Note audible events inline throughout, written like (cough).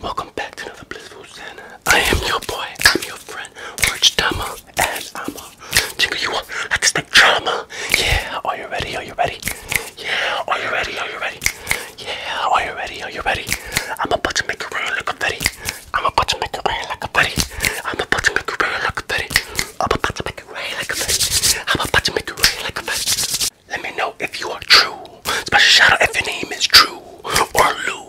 Welcome back to another Blissful Santa. I am your boy, I'm your friend, Orange Dama, and I'm a jingle you want like stick drama. Yeah, are you ready? Are you ready? Yeah, are you ready? Are you ready? Yeah, are you ready? Are you ready? I'm about to make it rain like a petty. I'm about to make it rain like a petty. I'm about to make it rain like a petty. I'm about to make it rain like a petty. I'm about to make it rain like a petty. Let me know if you are true. Special shout out if your name is True or Lou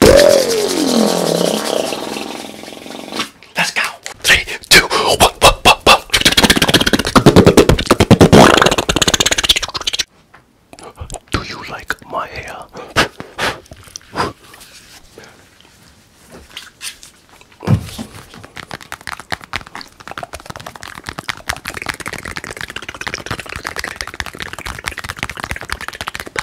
Let's go. Three, two, one, one, one, one. Do you like my hair?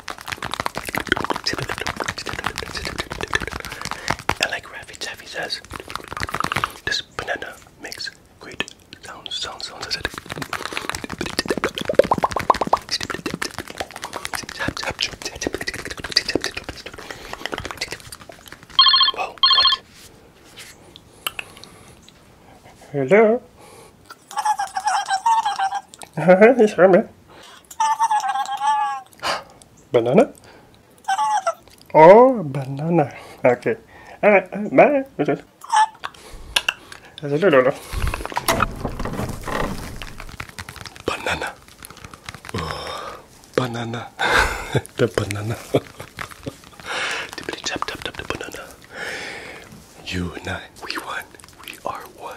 I like Raffy Taffy says this banana makes great sounds, sounds, sounds. I said, Whoa, what? Hello? it's (laughs) Herman. banana? Oh, banana. Okay. Alright, banana. bye. Okay. Banana. Oh, (laughs) banana. the banana. tap tap tap the banana. You and I, we won. We are one.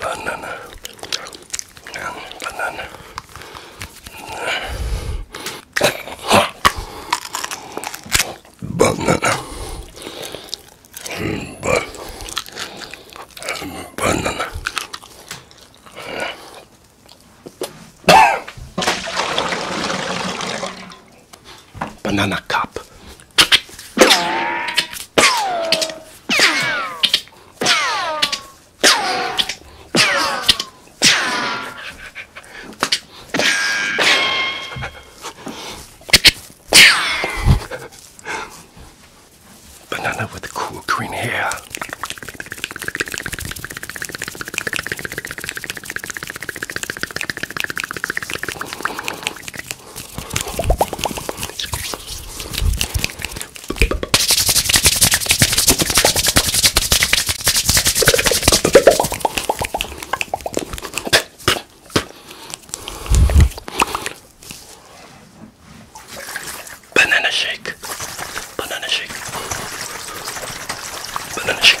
banana, banana. Hmm, banana, but hmm, banana. banana cup Banana with the cool green hair. Banana shake, banana shake, banana shake, banana shake.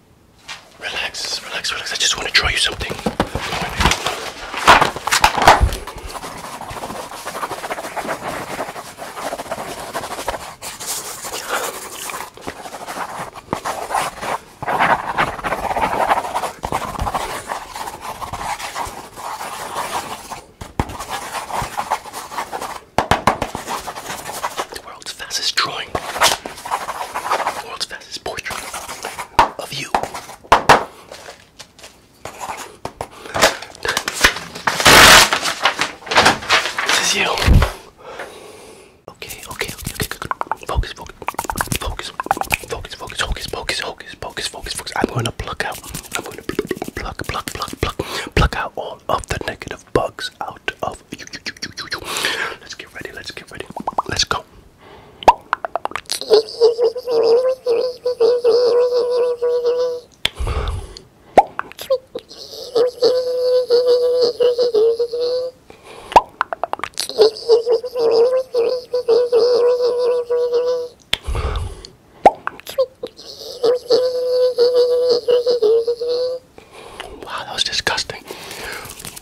Relax, relax, relax. I just want to draw you something. The world's fastest drawing, the world's fastest portrait of you. This is you. Okay, okay, okay, okay, good. Focus, focus, focus, focus, focus, focus, focus, focus, focus, focus, focus. I'm going to pluck out. I'm going to pluck, pluck, pluck, pluck, pluck out all of the negative bugs out of yourself. You, you, you, you, you, you. Let's get ready. Let's get ready. Let's go. Wow, that was disgusting.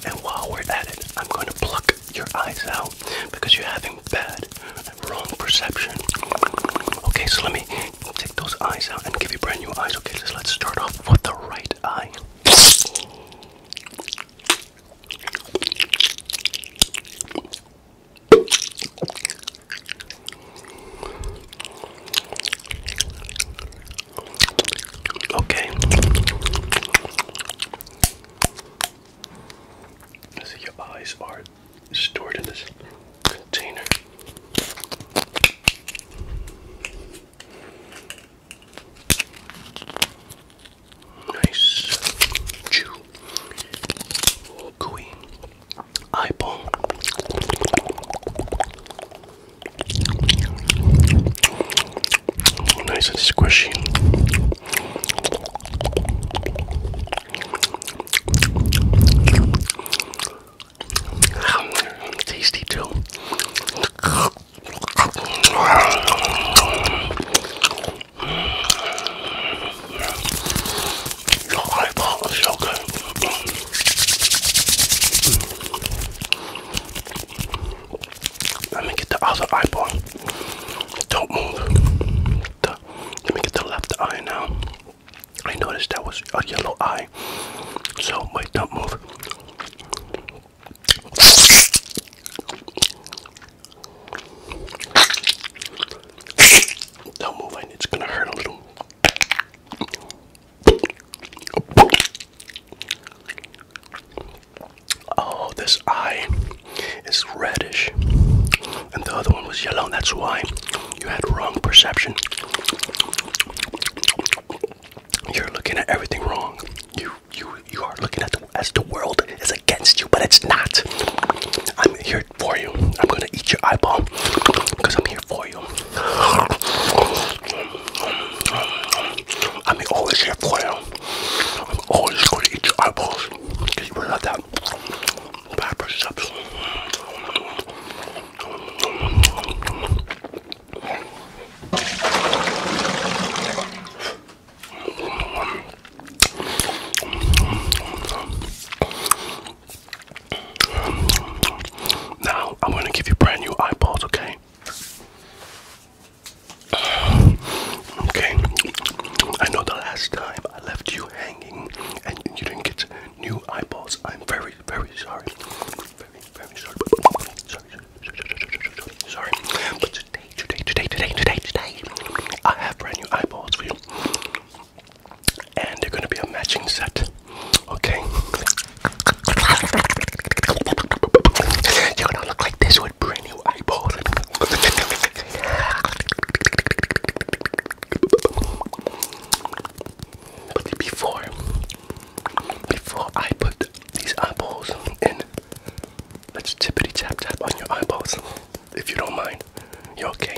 And while we're at it, I'm going to pluck your eyes out because you're having bad wrong perception. Okay, so let me take those eyes out and give you brand new eyes. Okay, so let's start off with the right eye. Okay. your eyes are stored in this container. Nice chew. Gooey eyeball. Nice and squishy. Tasty too. The eyeball is Hmm. Let me get the other eyeball. Don't move. let me get the left eye now. I noticed that was a yellow eye. So, wait, don't move. Don't move, it's gonna hurt a little. Oh, this eye is reddish, and the other one was yellow, and that's why you had wrong perception. You're looking at everything wrong. You you you are looking at the as the world is against you, but it's not. I'm here for you. I'm gonna eat your eyeball because I'm here for I'm always here for you. I'm always going to eat your eyeballs. Because you love that. Pepper subs. Now I'm gonna give you brand new eyeballs, okay? Okay. I know the last time I left you hanging and you didn't get new eyeballs. I'm very, very sorry. Very, very sorry. Sorry, sorry, sorry, sorry. But today, today, today, today, today, today, I have brand new eyeballs for you and they're gonna be a matching set. Okay. You're gonna look like this with brand new eyeballs. before, before I put these eyeballs in, let's tippity tap tap on your eyeballs, if you don't mind. You okay?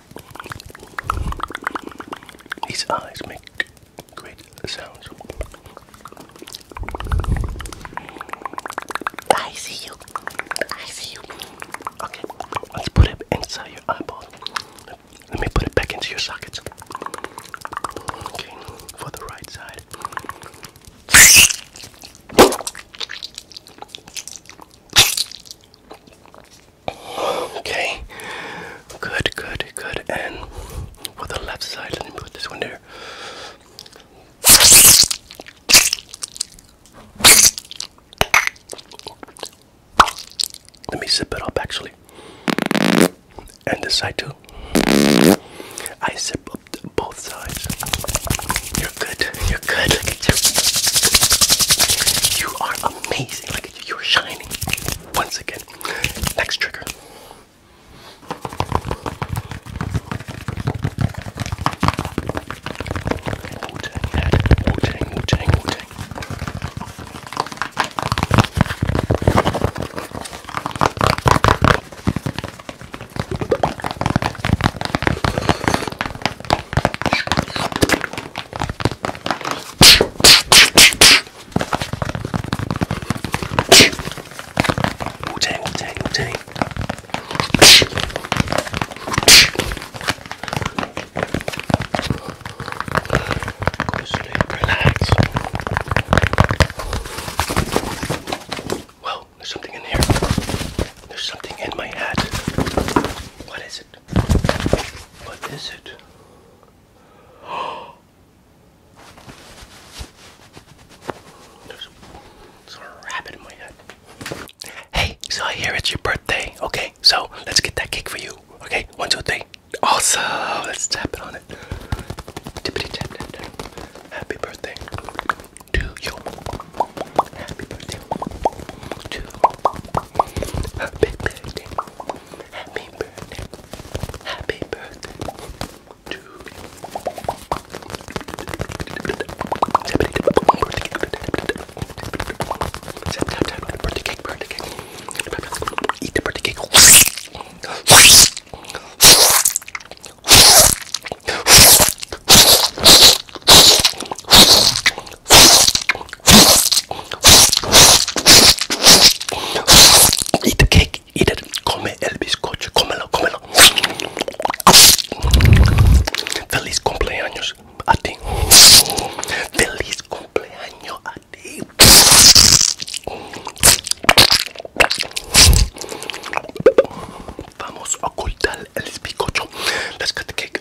These eyes make great sounds. I see you. I see you. Okay, let's put it inside your eyeball. Let me put it back into your sockets. Okay, for the right side. Okay. Good, good, good. And for the left side, let me put this one there. Let me zip it up actually. And this side too. I zip up both sides. You're good. You're good. Look at you. You are amazing. Look you, are shining. Once again, next trigger. Wu Tang, Wu Tang, Wu Tang. Go to relax. Well, there's something in here. There's something in my hat. What is it? What is it? (gasps) There's a, rabbit in my head. Hey, so I hear it's your birthday. Okay, so let's get that cake for you. Okay, one, two, three. Awesome. Let's tap it on it. Tippity tap. Happy birthday to you. Happy birthday to happy birthday, happy birthday, happy birthday to birthday cake, birthday cake, eat the birthday cake. Eat the cake, eat it. Come el bizcocho, cómelo, comelo Feliz cumpleaños a ti. Feliz cumpleaños a ti. Vamos a ocultar el bizcocho. Let's cut the cake.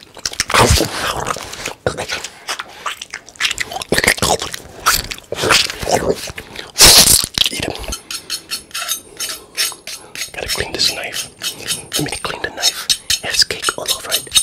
Eat him. Gotta clean this knife. Let me clean the knife. It has cake all over it.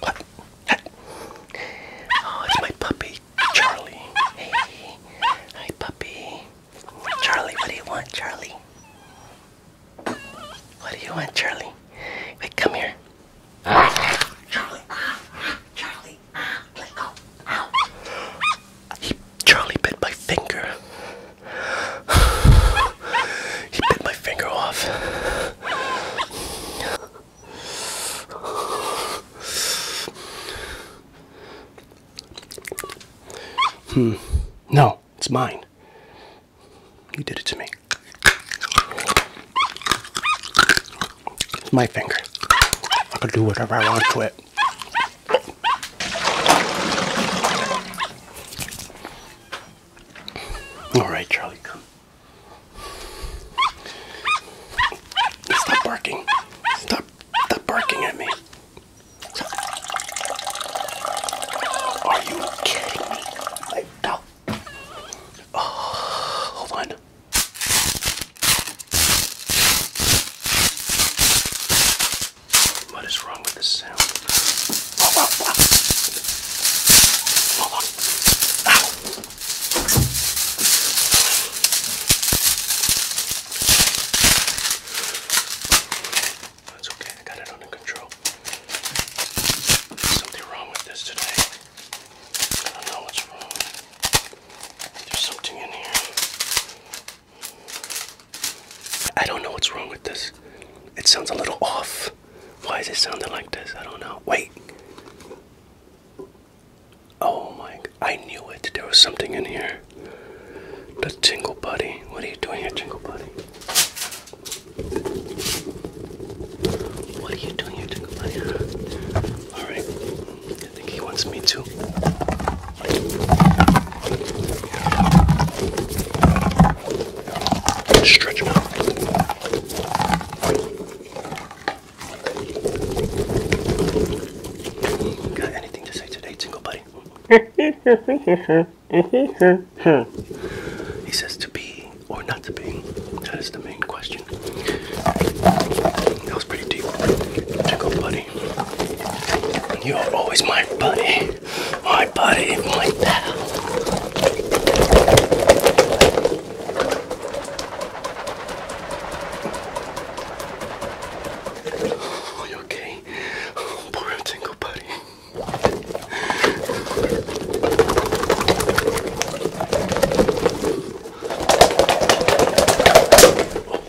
What? Oh, it's my puppy, Charlie. Hey, hi, puppy. Charlie, what do you want, Charlie? What do you want, Charlie? Wait, come here. Charlie, ah, ah, Charlie, ah, let go. He Charlie bit my finger. he bit my finger off. Hmm. No, it's mine. You did it to me. It's my finger. I can do whatever I want to it. All right, Charlie, come. Stop barking. Stop, stop barking at me. Are you kidding me? Like, no. Oh, hold on. What is wrong with this sound? That's okay, I got it under control. something wrong with this today. I don't know what's wrong. There's something in here. I don't know what's wrong with this. It sounds a little off. Why is it sounding like this? I don't know. Wait. Oh my, I knew it. There was something in here. The Tingle Buddy. What are you doing here, Tingle Buddy? What are you doing here, Tingle Buddy? Alright. I think he wants me too. Stretch out. Got anything to say today, Tingle Buddy? (laughs) he says to be or not to be. That is the main question. That was pretty deep. Tingle Buddy. You're always my buddy. My buddy, my pal. Are you okay? Poor tingle buddy.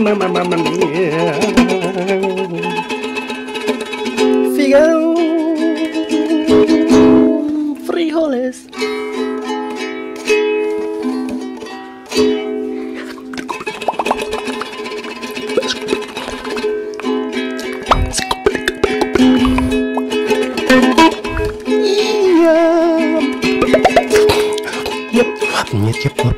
mamma mia Figaro frijoles Iya Yep, yep, yep,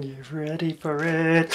Get ready for it.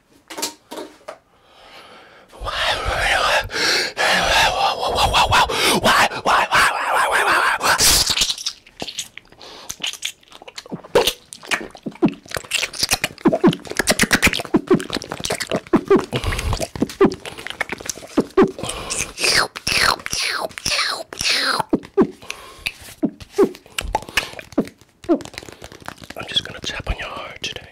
I'm just going to tap on your heart today.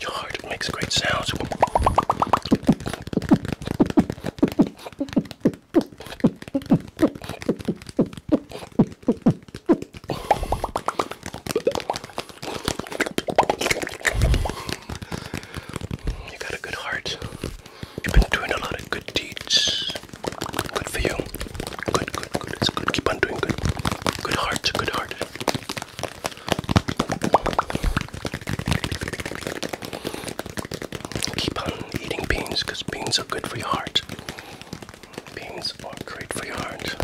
Your heart makes great sounds. You got a good heart. You've been doing a lot of good deeds. Good for you. Good, good, good. It's good. Keep on doing good. Good heart, good heart. Keep on eating beans because beans are good for your heart. Beans are great for your heart.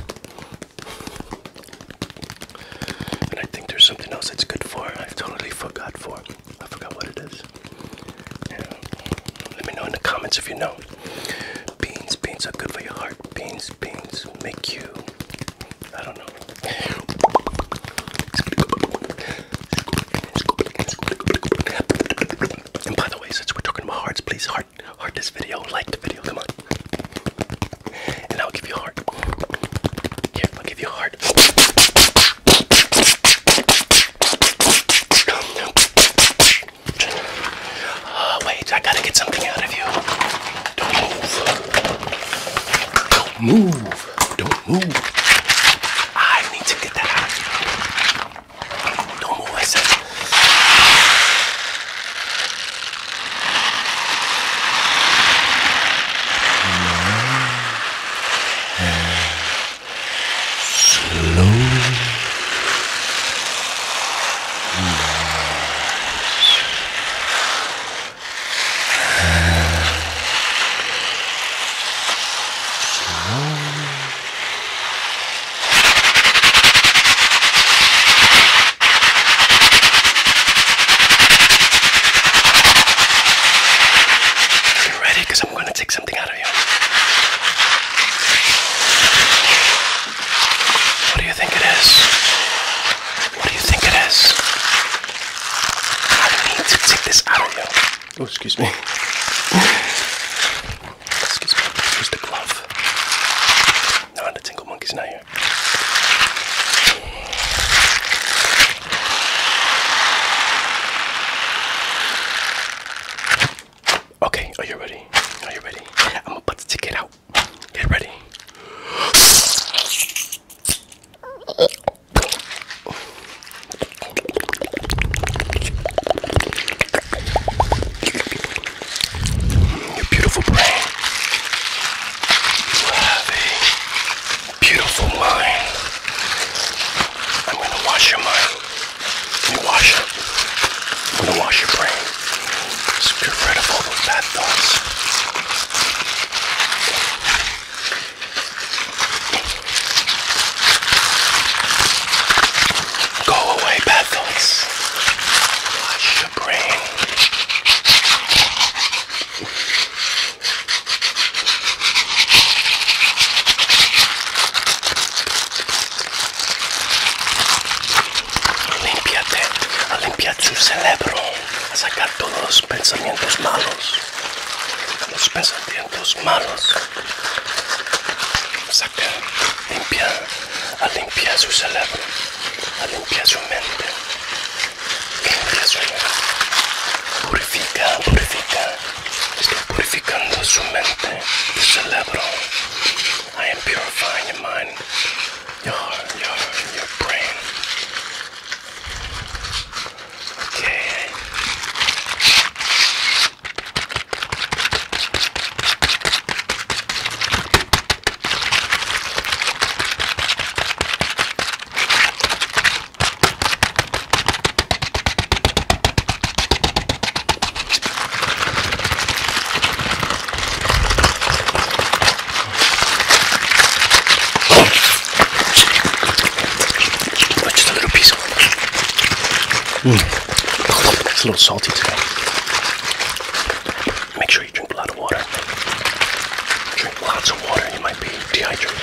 And I think there's something else that's good for. I totally forgot for. I forgot what it is. Let me know in the comments if you know. Beans, beans are good for your heart. Beans, beans make you. I don't know. And by the way, since we're talking about hearts, please heart, heart this video, like the video. Come on. And I'll give you heart. Here, I'll give you a heart. (sighs) wait, I gotta get something out of you. Don't move. Don't move. Don't move. I need to get that out of you. Don't move, I you ready? Because I'm going to take something out of you. What do you think it is? What do you think it is? I need to take this out of you. Oh, excuse me. excuse me. Where's the glove? No, the tingle monkey's not here. Okay, are you ready? Are you ready? I'm about to take it out. Get ready. Your beautiful brain. beautiful mind. I'm gonna wash your mind. Let wash it. i wash your brain. Just get of all those bad thoughts. Go away, bad thoughts. Wash your brain. Limpiate, a limpiar su cerebro, a sacar todos los pensamientos malos, los pensamientos malos. Saca, limpia, a limpiar su cerebro, a su mente, limpia su mente. Purifica, purifica, estoy purificando su mente, su cerebro. I am purifying your mind, your your your brain. Okay. But just a little piece. Mm. It's a little salty today. Make sure you drink a lot of water. Drink lots of water, you might be dehydrated.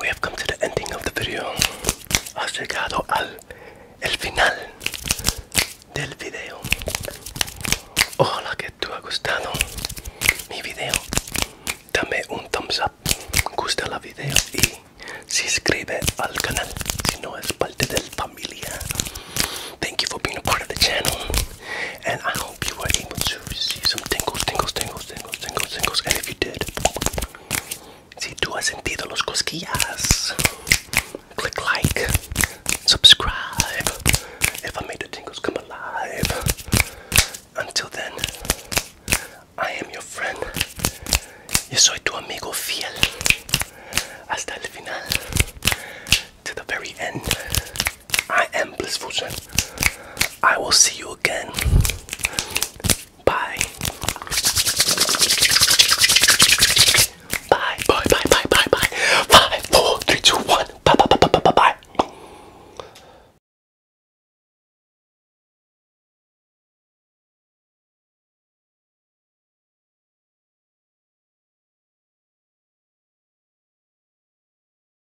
we have come to the ending of the video. Has llegado al el final del video. Ojalá que te ha gustado mi video. Dame un thumbs up, gusta la video y suscribe al canal si no es parte del familia. Thank you for being a part of the channel and I hope if you were able to receive some tingles, tingles, tingles, tingles, tingles, tingles. And if you did, si tú has sentido los cosquillas, click like, subscribe. If I made the tingles come alive. Until then, I am your friend. Yo soy tu amigo fiel. Hasta el final. To the very end. I am Blissful Jen. I will see you again. Bye. Bye. Bye. Bye. Bye. Bye. Five, four, three, two, one. Bye. Bye. Bye. Bye. Bye. Bye.